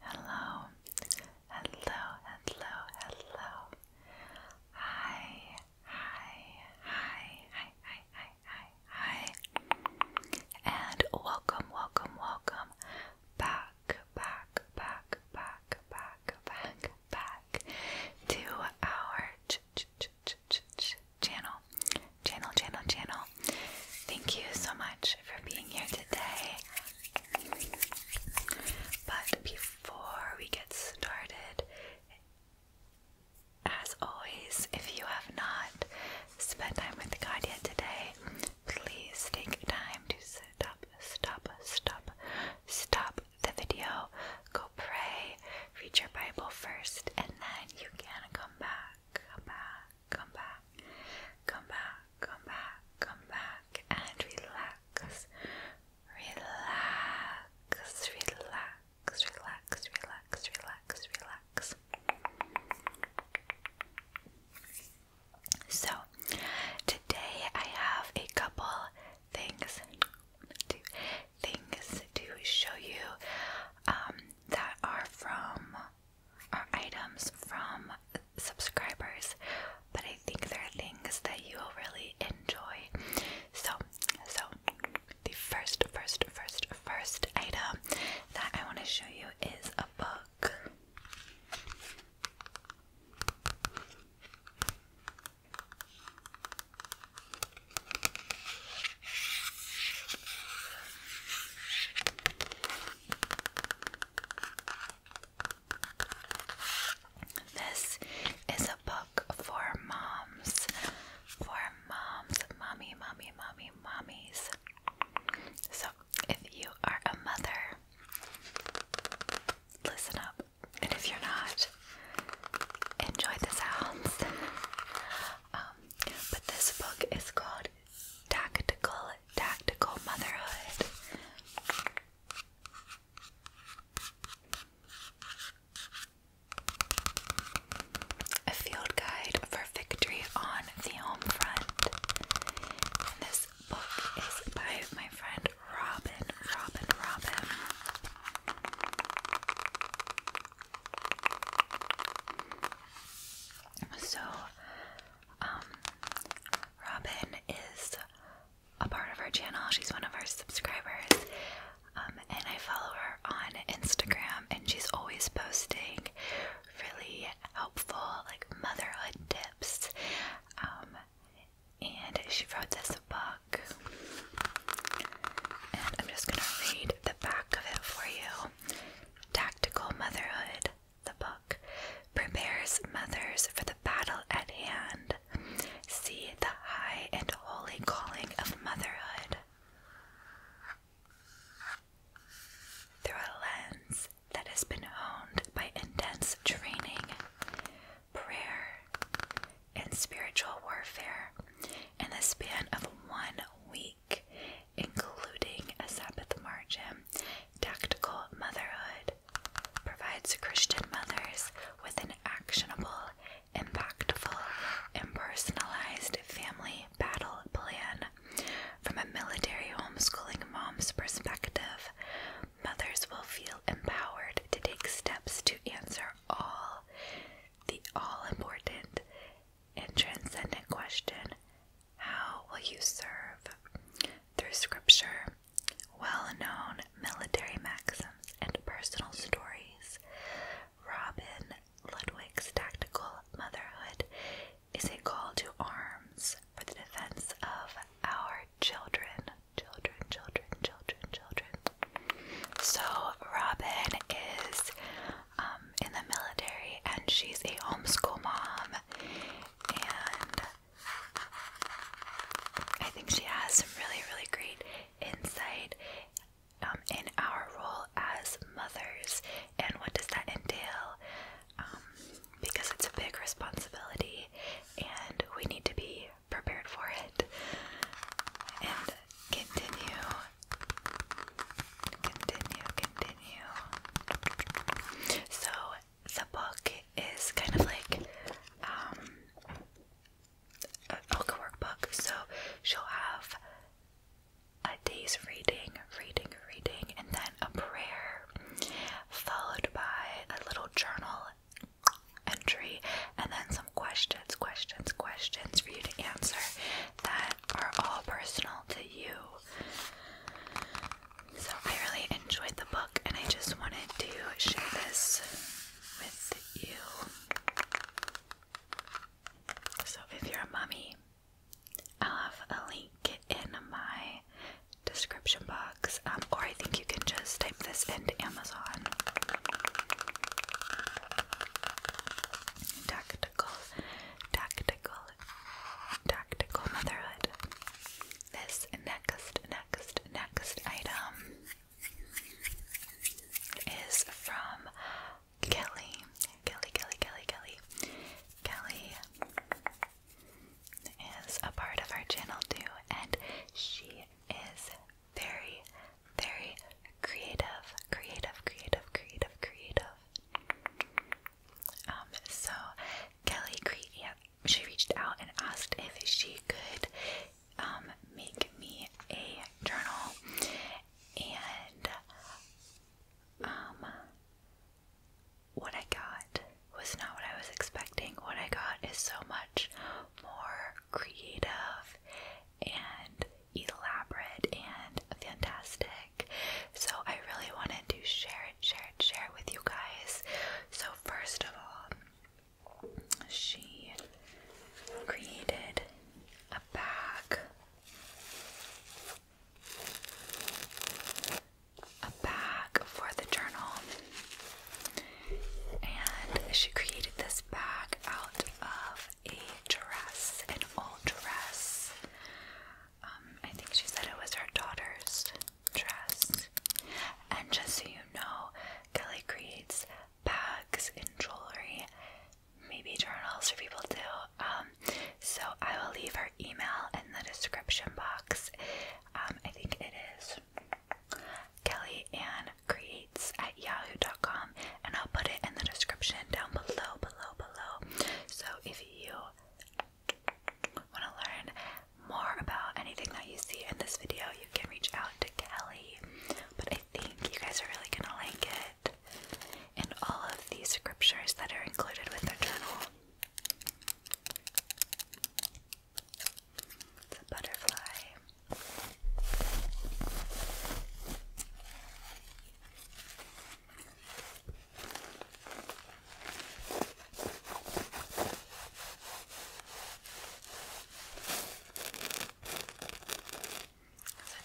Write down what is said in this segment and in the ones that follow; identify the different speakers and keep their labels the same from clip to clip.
Speaker 1: Hello, hello, hello, hello. Hi, hi, hi, hi, hi, hi, hi, And welcome, welcome, welcome back, back, back, back, back, back, back to our channel, channel, channel, channel thank you so much for being here today. But before we get started, as always, if you have not spent time with God yet today, please take time to stop, stop, stop, stop the video, go pray, read your Bible first, and then you can come back, come back, come back, come back, come back, and relax, relax, relax, relax, relax, relax, relax. So, today I have a couple things to things to show you um, that are from are items from subscribers, but I think they're things that you'll really enjoy. So, so the first, first, first, first item that I want to show you is a book. This is a book for moms. For moms, mommy, mommy, mommy, mommies. So, if you are a mother, listen up. And if you're not, enjoy the sounds. Um, but this book is called Tactical tactical motherhood. A field guide for victory on the home front. And this book is by my friend Robin, Robin, Robin. So, um, Robin is a part of our channel. She's one of our subscribers. Um, and I follow her on Instagram, and she's always posting really helpful, like, motherhood tips. Um, and she wrote this book. And I'm just gonna read the back of it for you Tactical Motherhood the book, prepares mothers for the battle at hand. See the high and holy calling of motherhood through a lens that has been honed by intense training, prayer, and spiritual warfare in the span of one week including a Sabbath margin, tactical motherhood provides Christian mothers with an actionable, impactful, and personalized family battle plan. From a military homeschooling mom's perspective, mothers will feel empowered to take steps to answer all the all important and transcendent question how will you serve? Through scripture, well known military maxims, and personal stories, Robin Ludwig's tactical motherhood is a call to arms for the defense of our children. Children, children, children, children. So, Robin is um, in the military and she's a homeschool mom and I think she has some really, really great insight um, in our role as mothers and what does that entail um, because it's a big responsibility and we need to be prepared for it and continue continue, so the book is kind of like um like a workbook. So she'll have a day's reading, reading, reading, and then a prayer, followed by a little journal entry, and then some questions, questions, questions for you to answer that are all personal to you. So I really enjoyed the book and I just wanted to share this with you. So if you're a mummy, I'll have a link in my description box, um, or I think you can just type this into Amazon. Tactical, tactical Tactical Motherhood. This next, next, next item is from Kelly. Kelly, Kelly, Kelly, Kelly. Kelly is a part of our channel too, and she is very, very creative, creative, creative, creative, creative. Um, so Kelly Creed, she reached out and asked if she could um, make me a journal, and um, what I got was not what I was expecting. What I got is so much more creative and elaborate and fantastic so I really wanted to share it, share it, share it with you guys. So first of all, she created a bag. A bag for the journal, and she created this bag out of a dress, an old dress. Um, I think she said it was her daughter's dress. And just so you know, Kelly creates bags and jewelry, maybe journals for people too. Um, so I will leave her email in the description box. Um, I think it is Kelly Ann Creates at yahoo.com, and I'll put it in the description down below, below, below. So if you Want to learn more about anything that you see in this video, you can reach out to Kelly. But I think you guys are really gonna like it. And all of these scriptures that are included with their journal. It's a butterfly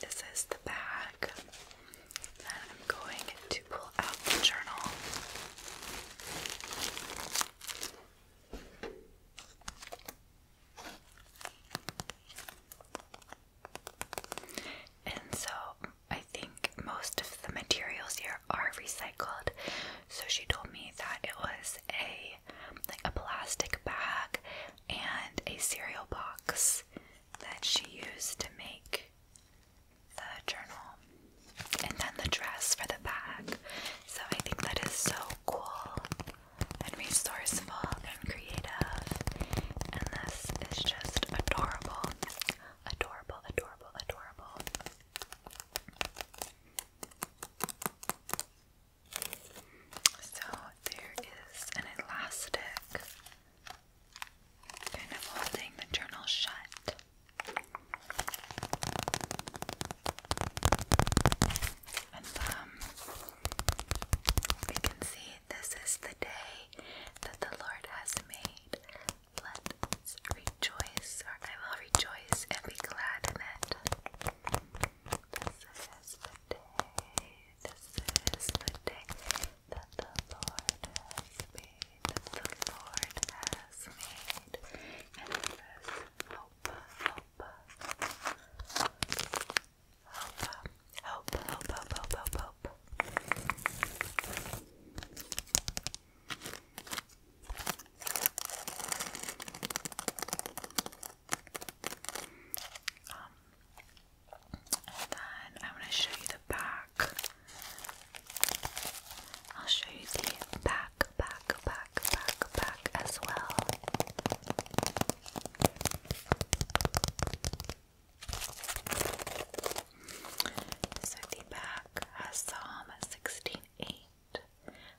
Speaker 1: this is the bag that I'm going to pull out the journal. And so I think most of the materials here are recycled. So she told me that it was a like a plastic bag and a cereal box that she used to make the journal. And then the dress for the back. So I think that is so cool and resourceful and creative. And this is just adorable. Adorable, adorable, adorable. So there is an elastic kind of holding the journal shut. And um, you can see this is the day that the Lord has made. Let's rejoice, or I will rejoice and be glad in it. This is the day, this is the day that the Lord has made, the Lord has made, and this hope, hope, hope, hope, hope, hope, hope. hope. Um, then I want to show you the back. I'll show you the back, back, back, back, back as well. So back Psalm 16:8.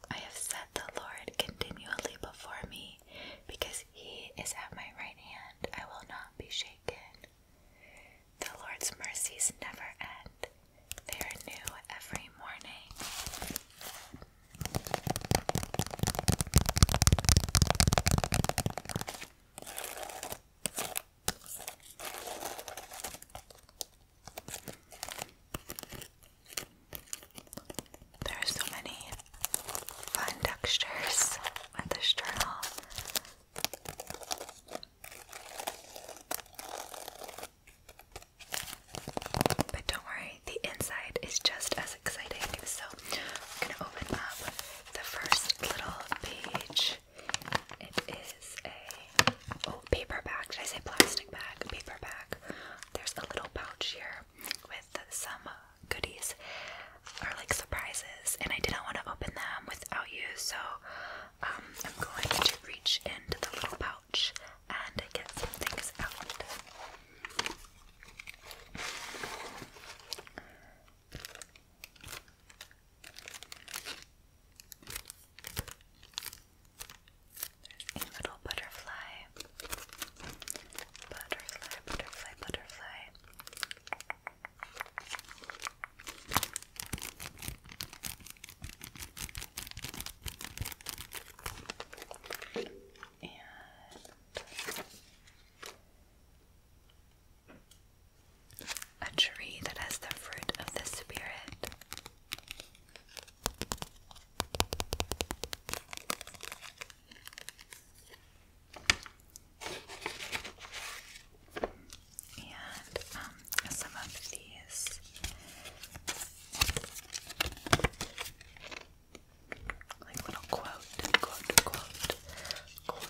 Speaker 1: I have set the Lord continually before me, because he is at my right hand, I will not be shaken. The Lord's mercies never end, they are new every morning. There are so many fun textures with this journal. But don't worry, the inside is just as exciting. So I'm gonna open up the first little page. It is a oh paper bag. Should I say plastic bag? Paper bag. There's a little pouch here with some uh, goodies or like surprises, and I didn't want to open them without you, so um, I'm going to reach into the little pouch and get some things out. There's a little butterfly. Butterfly, butterfly, butterfly. And a tree that has the fruit of the Spirit. And um, some of these like little quote, quote, quote, quote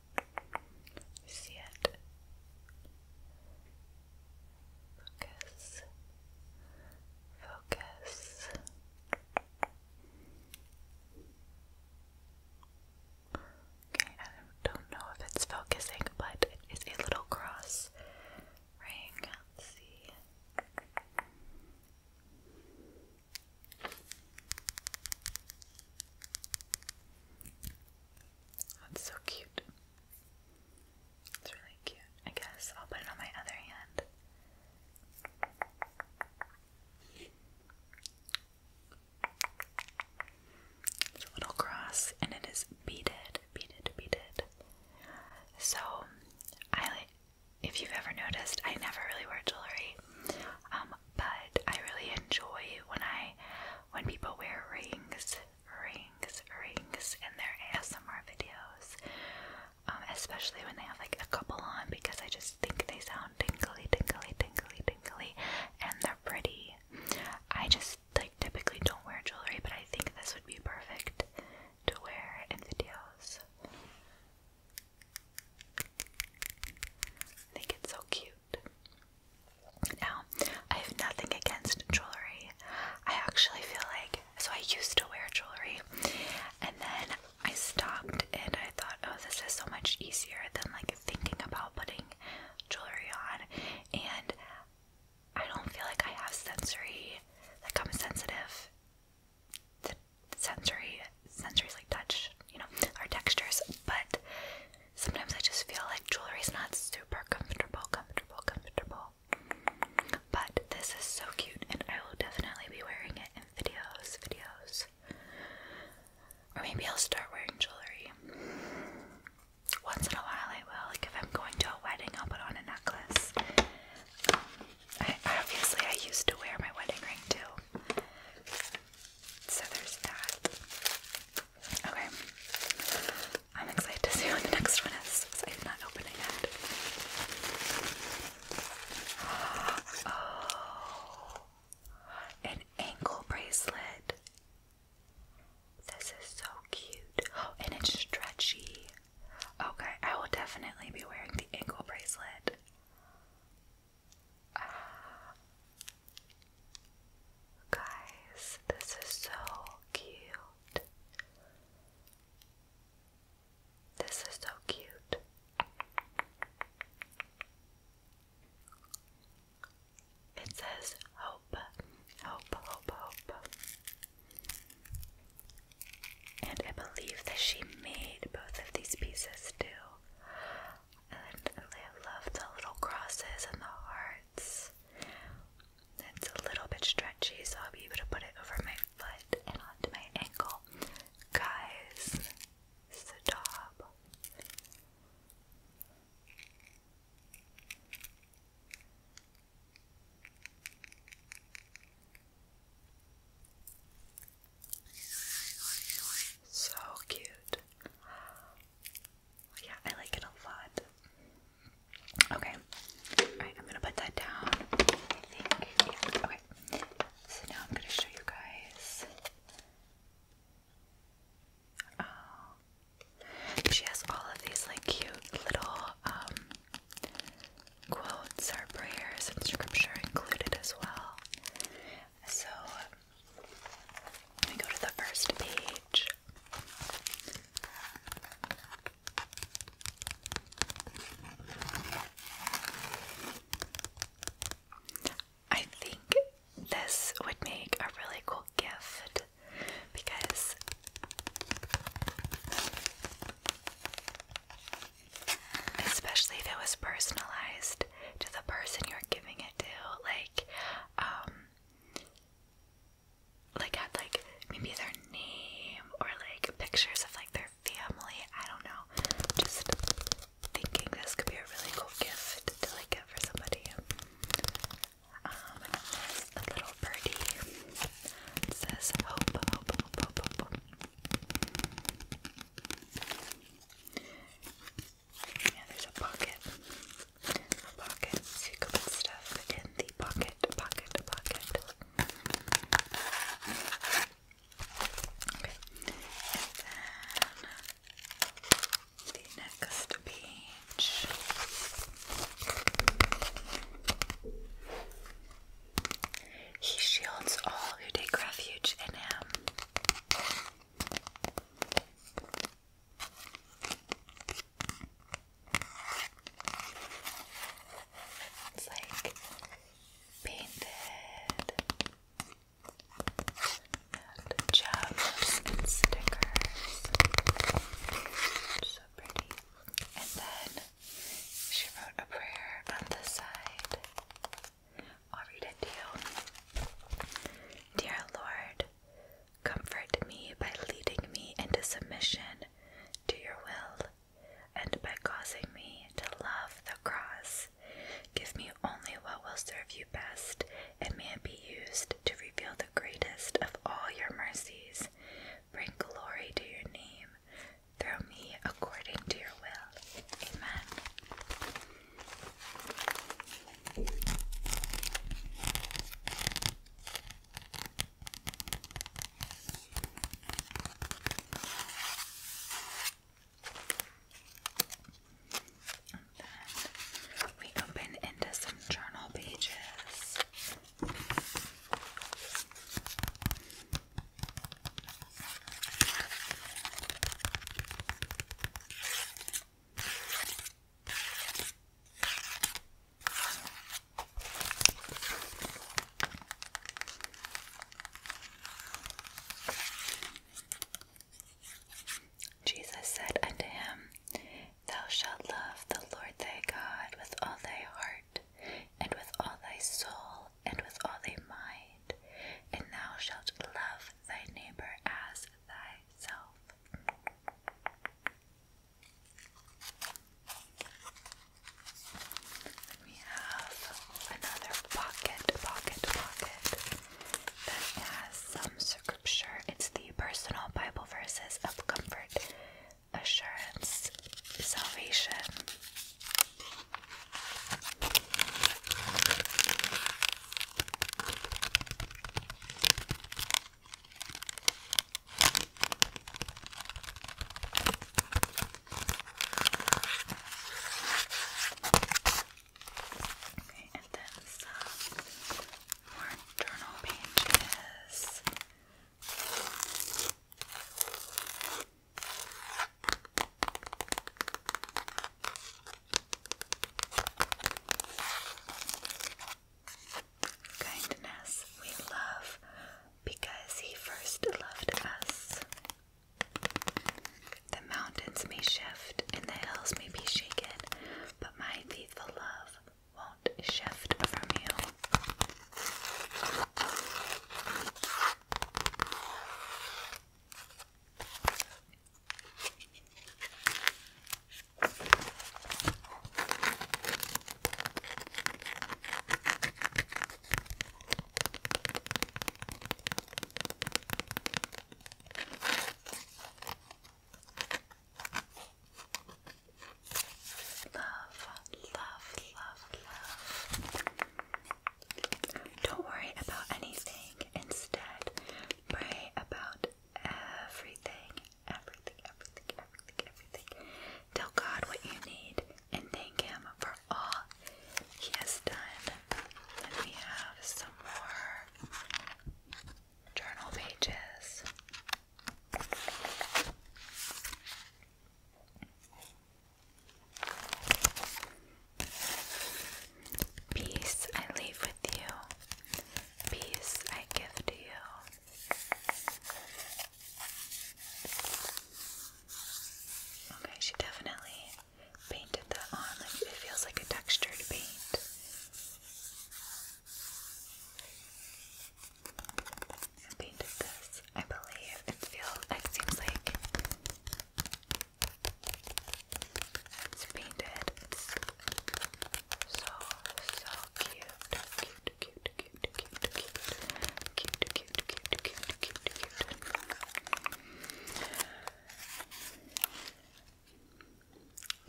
Speaker 1: see it? Focus. Focus. Okay, I don't know if it's focusing, but it is a little cross ring. see. That's so cute. It's really cute. I guess I'll put it on my other hand. It's a little cross and it is beaded, beaded, beaded. So, I if you've ever noticed, I never really wear jewelry, um, but I really enjoy when I when people wear rings, rings, rings in their ASMR videos, um, especially when they have like a couple on because I just think they sound tingly, tingly, tingly, tingly, and they're pretty. I just like typically don't wear jewelry, but I think this would be perfect to wear in videos. I think it's so cute. Now, I have nothing against jewelry. I actually feel like, so I used to wear jewelry and then I stopped and I thought, oh, this is so much easier than like thinking about putting jewelry on. And I don't feel like I have sensory, like I'm sensitive to sensory, sensories like touch, you know, or textures, but Sometimes I just feel like jewelry is not super comfortable, comfortable, comfortable. But this is so cute, and I will definitely be wearing it in videos, videos. Or maybe I'll start wearing jewelry. Once in a while, I will. Like if I'm going to a wedding, I'll put on a necklace. Um, obviously, I used to wear my wedding ring too. So there's that. Okay. I'm excited to see what the next one is I'm not opening it. Oh, an ankle bracelet. This is so cute. and it's stretchy. Okay, I will definitely be wearing the ankle bracelet. Guys, this is so cute. This is so cute. It says hope, hope, hope, hope. And I believe that she made both of these pieces too. And I love the little crosses and the heart parts. It's a little bit stretchy, so I'll be able to put it over my foot and onto my ankle. Guys, stop. So cute. Yeah, I like it a lot. Okay. Alright, I'm gonna put that down. I think. Okay. So now I'm gonna show you guys. Oh. She has all of these like cute little um quotes or prayers and scripture included as well. So let me go to the first page. I think this would make a really cool gift because especially if it was personalized to the person you're giving it to like um, like had like maybe their name or like pictures of like their family. I don't know. Just thinking this could be a really cool gift to like get for somebody. Um, a little birdie. says yeah, there's a pocket. pocket. So stuff in the pocket, pocket, pocket. Okay. And then the next page. He shields all who take refuge in him. It's like painted and jams and stickers. so pretty. And then she wrote a prayer on the side. I'll read it to you. Dear Lord, Comfort me by leading me into submission to your will, and by causing me to love the cross. Give me only what will serve you best, and may it be used to reveal the greatest of all your mercies. Bring glory to your name. Through me according to your will. Amen. And we open into some journal pages. Jesus said unto him, Thou shalt love the Lord thy God with all thy heart, and with all thy soul, and with all thy mind, and thou shalt love thy neighbor as thyself we have another pocket, pocket, pocket that has some scripture. It's the personal Bible verses of comfort, assurance, salvation. Okay, and then some more journal pages. Kindness we love because He first loved us. The mountains may shift and the hills may be shaken, but my faithful love won't shift from you. Love, love, love, love. Don't worry about anything. Instead, pray about everything, everything, everything, everything, everything. Tell God what you need and thank Him for all He has done. we have some more journal pages. Peace I leave with you. Peace I give to you. Okay, she definitely painted that on. Like it feels like a textured paint. painted this, I believe. It feels it seems like painted. So, so cute. Cute, cute, cute, cute, cute. Cute, cute, cute, cute, cute, cute.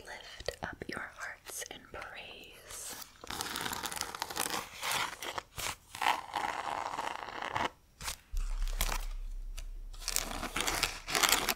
Speaker 1: Lift up your hearts and praise.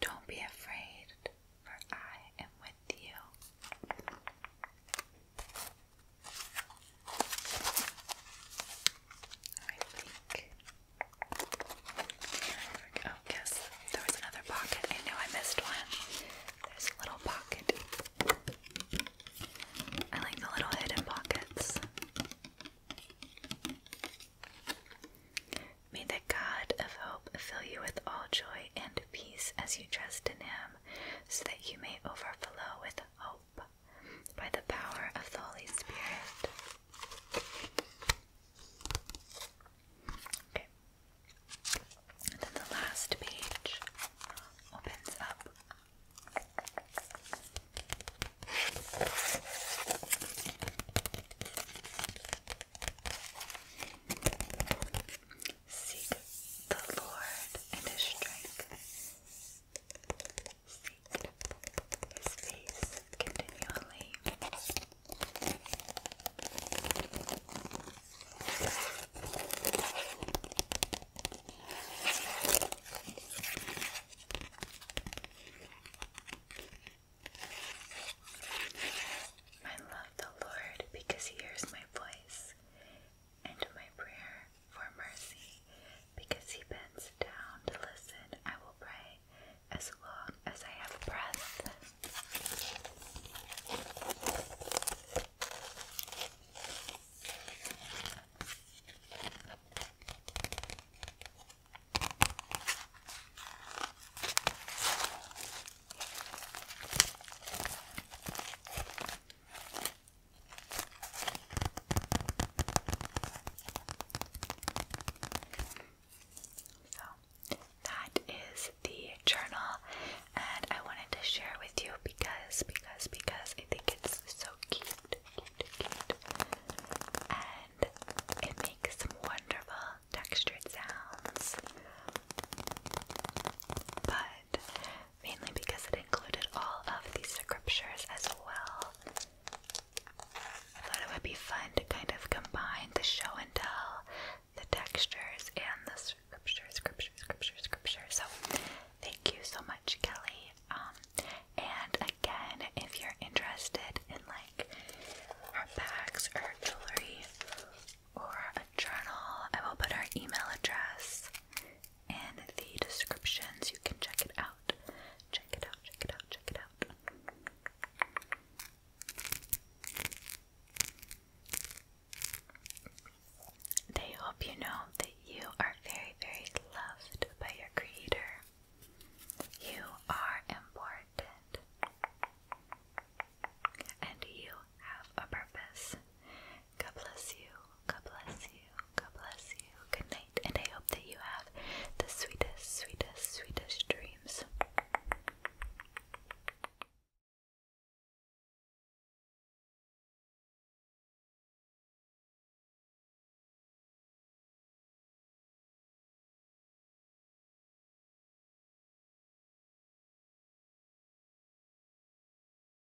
Speaker 1: Don't be afraid, for I am with you. I think. Oh, yes, there was another pocket. I know I missed one. There's a little pocket. I like the little hidden pockets. May the God of hope fill you with all joy and peace as you trust in Him, so that you may overflow with hope by the power of the Holy Spirit. Okay. And then the last page opens up. Seek the Lord and His strength. I love the Lord because He hears my voice and my prayer for mercy, because he bends down to listen. I will pray as long as I have breath. So that is the journal and I wanted to share with you because because because I think it's so cute and it makes some wonderful textured sounds but mainly because it included all of these scriptures as well. I thought it would be fun to kind of combine the show and tell, the textures, and the scripture, scripture, scripture, scripture. So, thank you so much, Kelly. Um, and again, if you're interested in like our bags or jewelry or a journal, I will put our email address in the descriptions. You can check it out. Check it out, check it out, check it out. They hope you know that you are very, very loved by your Creator. You are important. And you have a purpose. God bless you. God bless you. God bless you. Good night, and I hope that you have the sweetest, sweetest, sweetest dreams.